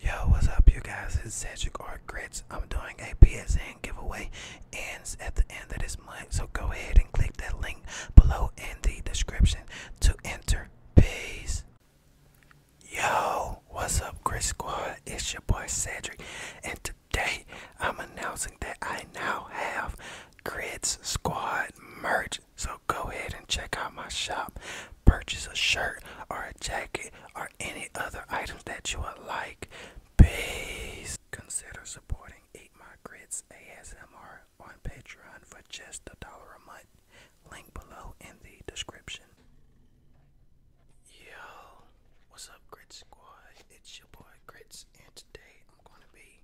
Yo, what's up, you guys? It's Cedric Art Grits. I'm doing a PSN giveaway. Ends at the end of this month, so go ahead and click that link below in the description to enter. Peace. Yo, what's up, Grits Squad? It's your boy Cedric, and today I'm announcing that I now have Grits Squad merch. So go ahead check out my shop. Purchase a shirt or a jacket or any other items that you would like. Please Consider supporting Eat My Grits ASMR on Patreon for just a dollar a month. Link below in the description. Yo, what's up, grits Squad? It's your boy Grits, and today I'm going to be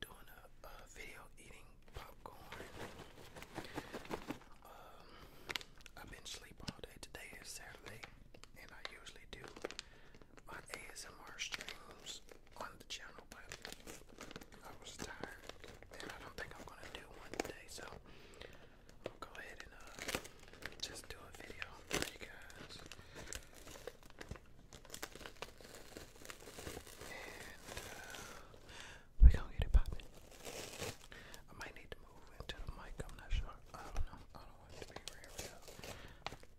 doing a video eating popcorn. Um, I've been asleep all day. Today is Saturday, and I usually do my ASMR streams on the channel, but I was tired, and I don't think I'm gonna do one today. So I'll go ahead and uh, just do a video for we gonna get it popping. I might need to move into the mic, I'm not sure. I don't know. I don't want to be real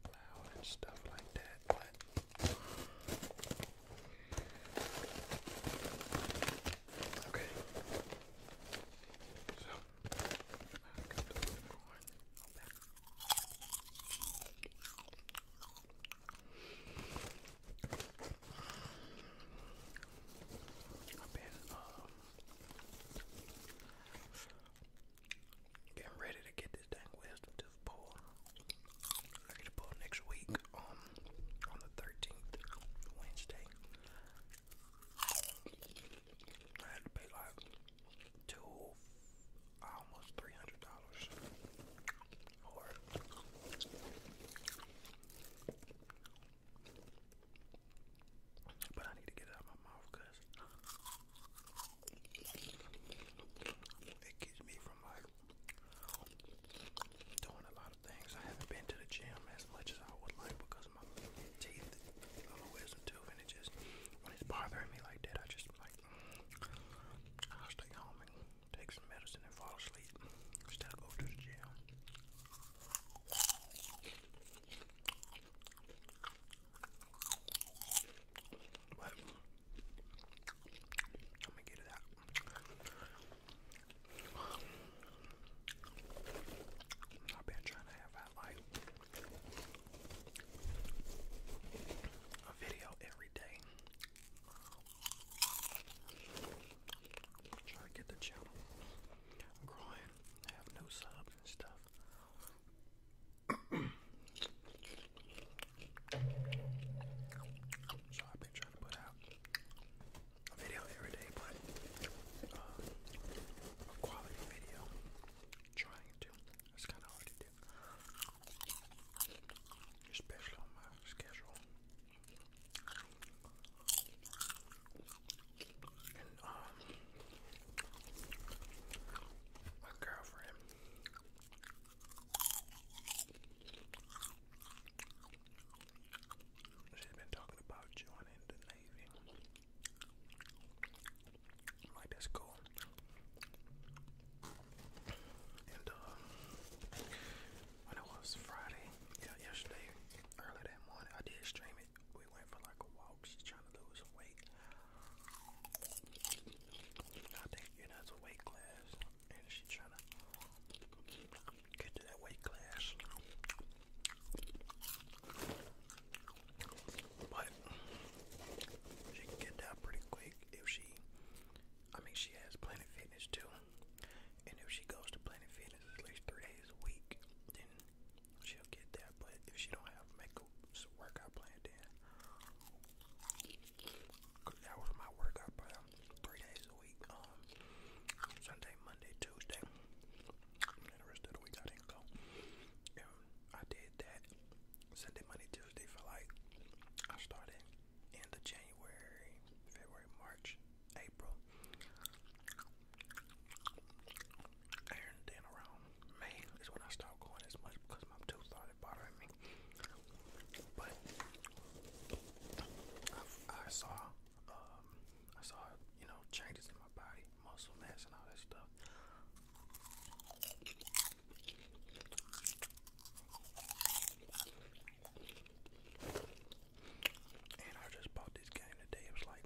loud and stuff like that, Okay. So I've been um, getting ready to get this dang West to the I get to pull next week um, on the 13th, Wednesday. I had to pay like two, almost $300 or but I need to get out of my mouth because it keeps me from like doing a lot of things. I haven't been to the gym as much as I would like because my teeth, I'm a and it just when it's bothering me like that, I just like I'll stay home and take some medicine and fall asleep instead of go to the gym. But i get to that. I've been trying to have uh, like a video every day. Try to get the channel growing. I have no subs and stuff. so I've been trying to put out a every day, but uh, quality video. Trying to. It's kind of hard to do, especially on my schedule. And um girlfriend she's been talking about joining the Navy. like that's cool. And uh when it was Friday, yeah, yesterday, early that morning, I did stream it. We went for like a walk. She's trying to lose weight. I think you know it's a weight class, and she's trying to get to that weight class. But she can get down pretty quick if she. I mean, she has Planet Fitness too. And if she goes to Planet Fitness at least three days a week, then she'll get that. But if she don't have makeup workout plan, then that was my workout plan three days a week. Um, Sunday, Monday, Tuesday, the rest of the week I didn't go. I did that Sunday, Monday, Tuesday for like I started end of January, February, March, April, and then around May is when I stopped going as much because my tooth started bothering me. But I saw, um, I saw, you know, changes in my body, muscle mass, and all that stuff. And I just bought this game today. It was like,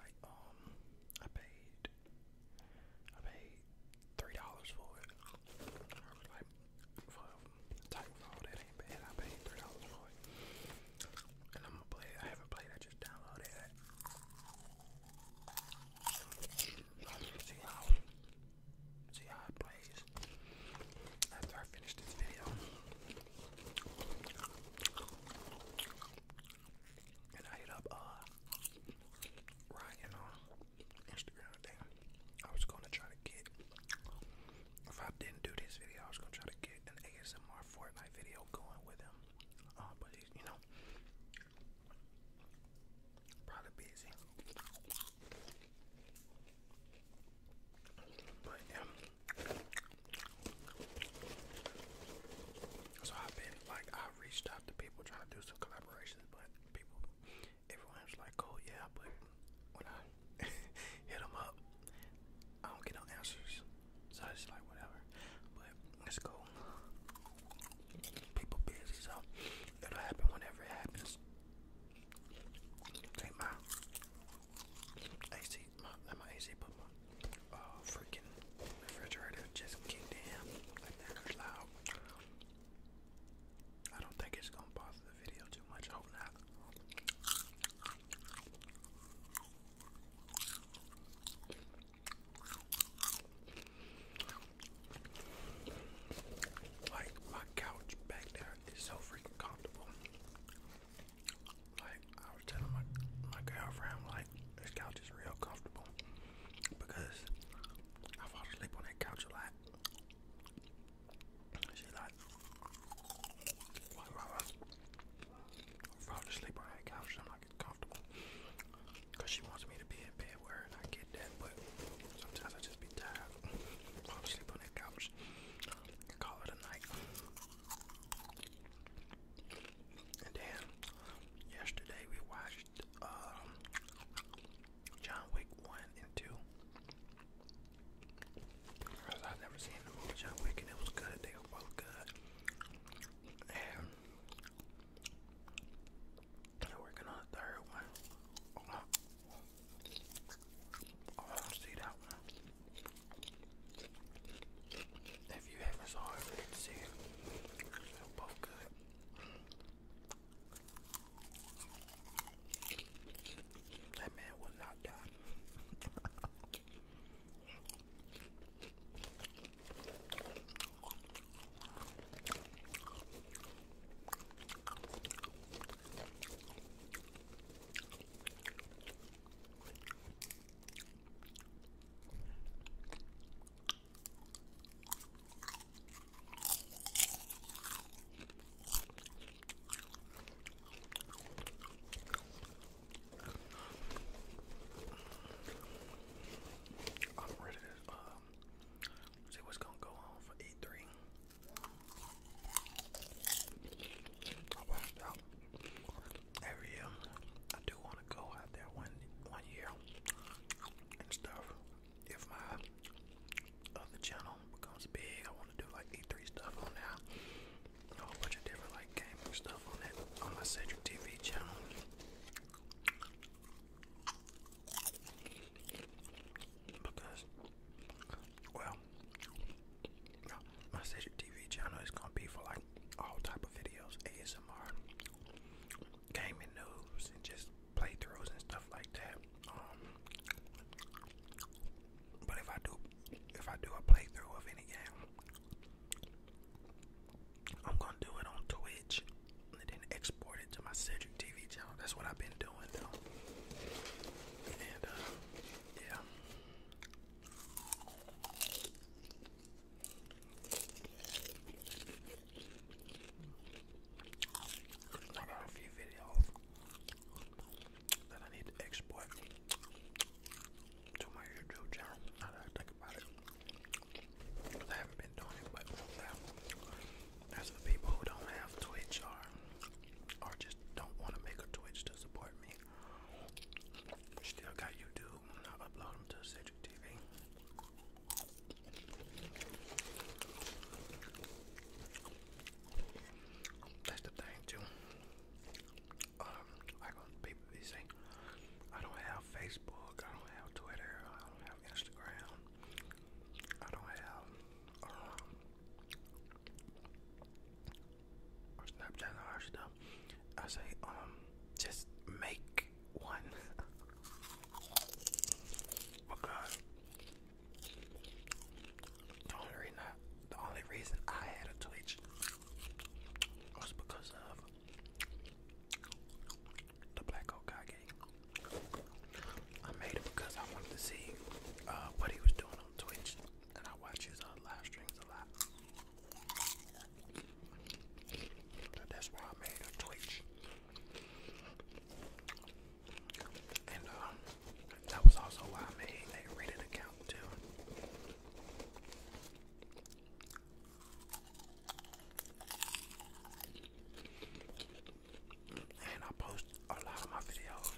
like um, I paid, I paid three dollars for it. I was like, for that ain't bad. I paid three dollars for it, and I'm gonna play I haven't played. I just downloaded it. See how it plays after I finish this video. And I hit up uh, Ryan on Instagram thing. I was gonna try to get if I didn't do this video, I was gonna try to get an ASMR Fortnite video going with him. Uh, but you know, probably busy so I've been like I reached out to people trying to do some collaborations, but people, everyone like, "Cool, oh, yeah," but when I hit them up, I don't get no answers. So it's like whatever. But it's cool. People busy, so it'll happen whenever it happens my AC, my, AC, but my uh, freaking refrigerator just kicked in loud. I don't think it's gonna bother the video too much. I hope not. Like my couch back there is so freaking comfortable. Like I was telling my my girlfriend, like this couch is real comfortable because I fall asleep on that couch a lot. She's like, I fall asleep on that couch. I'm like it's comfortable because she wants me to be in bed where I get that, but sometimes I just be tired. I'll sleep on that couch. call it a night. And then yesterday we watched um, John Wick one and two. I've never seen the movie John Wick, and it was good. They were both good. And they're working on the third one. see that one. If you have saw it, see it. both good. That man will not die. I'm ready to um see what's gonna go on for E3. I I do want to go out there one one year and stuff. If my other channel becomes big, I want to do like E3 stuff on that. A whole bunch of different like gaming stuff on that on my Cedric TV channel. Because, well, my Cedric TV channel is gonna be for like all type of videos, ASMR, gaming news, and just playthroughs and stuff like that. Um, but if I do, if I do a playthrough of any game, I'm gonna do it on Twitch and then export it to my Cedric TV channel. That's what I've been doing though. And uh, yeah. I got a few videos that I need to export to my YouTube channel. Now that I think about it, I haven't been doing it, but that's for people who don't have Twitch or or just don't want to make a Twitch to support me. Still got YouTube. I'll upload to Cedric TV. That's the thing too. Um, like people be saying, I don't have Facebook, I don't have Twitter, I don't have Instagram. I don't have uh, or Snapchat or stuff. I say, um, just make one because the only reason I, had a Twitch was because of the Black Hawk I made it because I wanted to see uh, what he was doing on Twitch, and I watch his uh, live streams a lot. that's why I made a Twitch, and um, that was also why I made a Reddit account too and I post a lot of my videos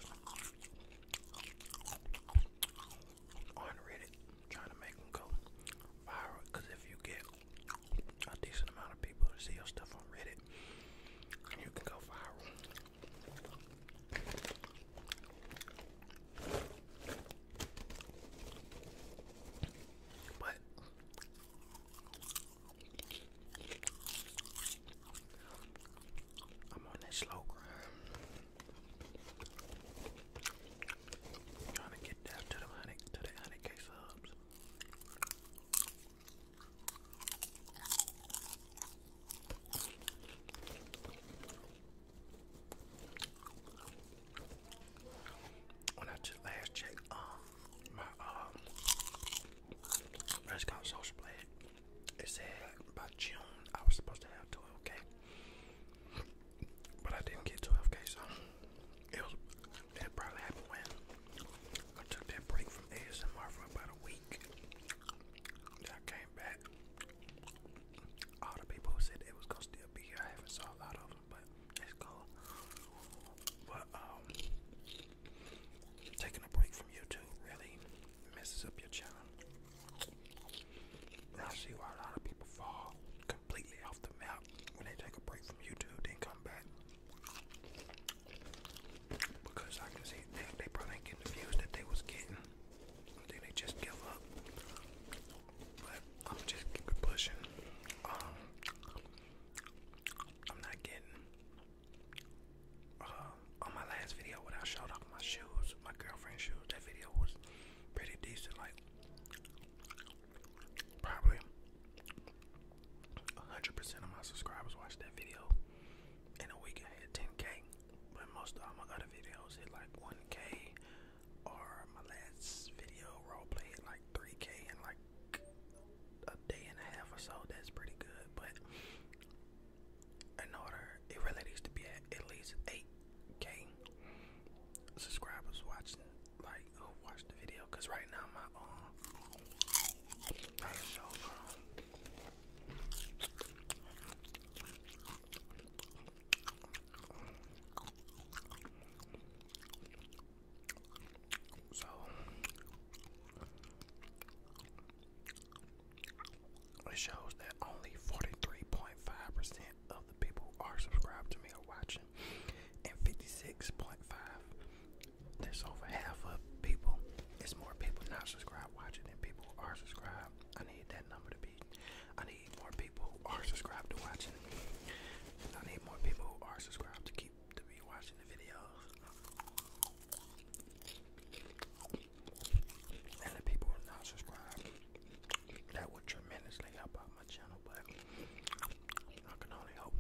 on Reddit, trying to make them go viral. Cause if you get a decent amount of people to see your stuff on Reddit, you can go viral. But I'm on that slow grind. Trying to get down to the honey to the honey case subs. When I just last checked, um, my um, it's Restaurant Social Blade. It said by June I was supposed to have 12k. But I didn't get 12k, so it was it probably happened when I took that break from ASMR for about a week. I came back. All the people who said they was gonna still be here, I haven't saw a lot of them, but it's cool. But um Taking a break from YouTube really messes up your channel. I see why a lot of people fall completely off the map when they take a break from YouTube, then come back. Because I can see they, probably ain't the views that they was getting. then they just give up. But I'm just keep pushing. Um, I'm not getting uh, on my last video when I showed off my shoes, my girlfriend's shoes, that video was pretty decent, like probably 100% of my subscribers watched that video. In a week, I hit 10K, but most of my other videos hit like 1K, or my last video roleplay hit like 3K, and like a day and a half or so. That's pretty good. But in order, it really needs to be at at least 8k subscribers watching, like who watched the video. Cause right now my um, um so it shows that only 43.5% of the people are subscribed to me or watching, and 56.5. There's over half of people. It's more people not subscribed watching than people are subscribed. I need that number to be. I need more people who are subscribed to watching. I need more people who are subscribed to keep be to be watching the videos. And the people who not subscribed, that would tremendously help out my channel, but I can only hope.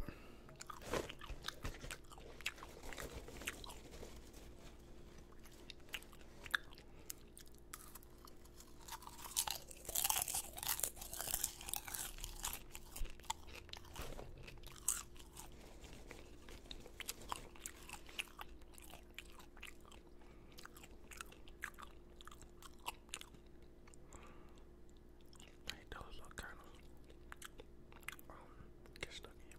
Like those little kernels um, get stuck in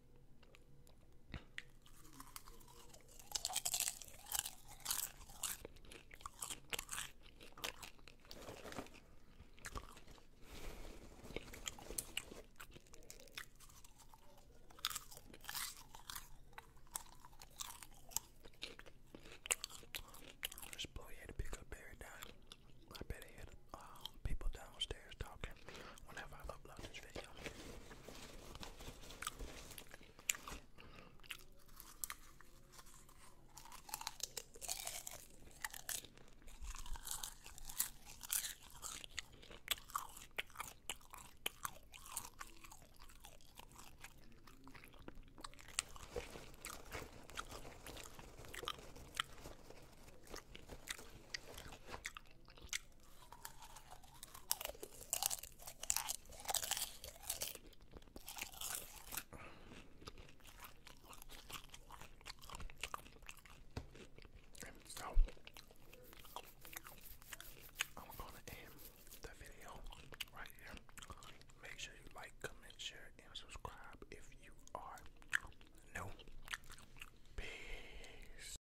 This boy had a pickup every night. I bet he had uh, people downstairs talking back whenever I upload this video. And so I'm gonna end the video right here. Make sure you like, comment, share, and subscribe if you are new. Peace.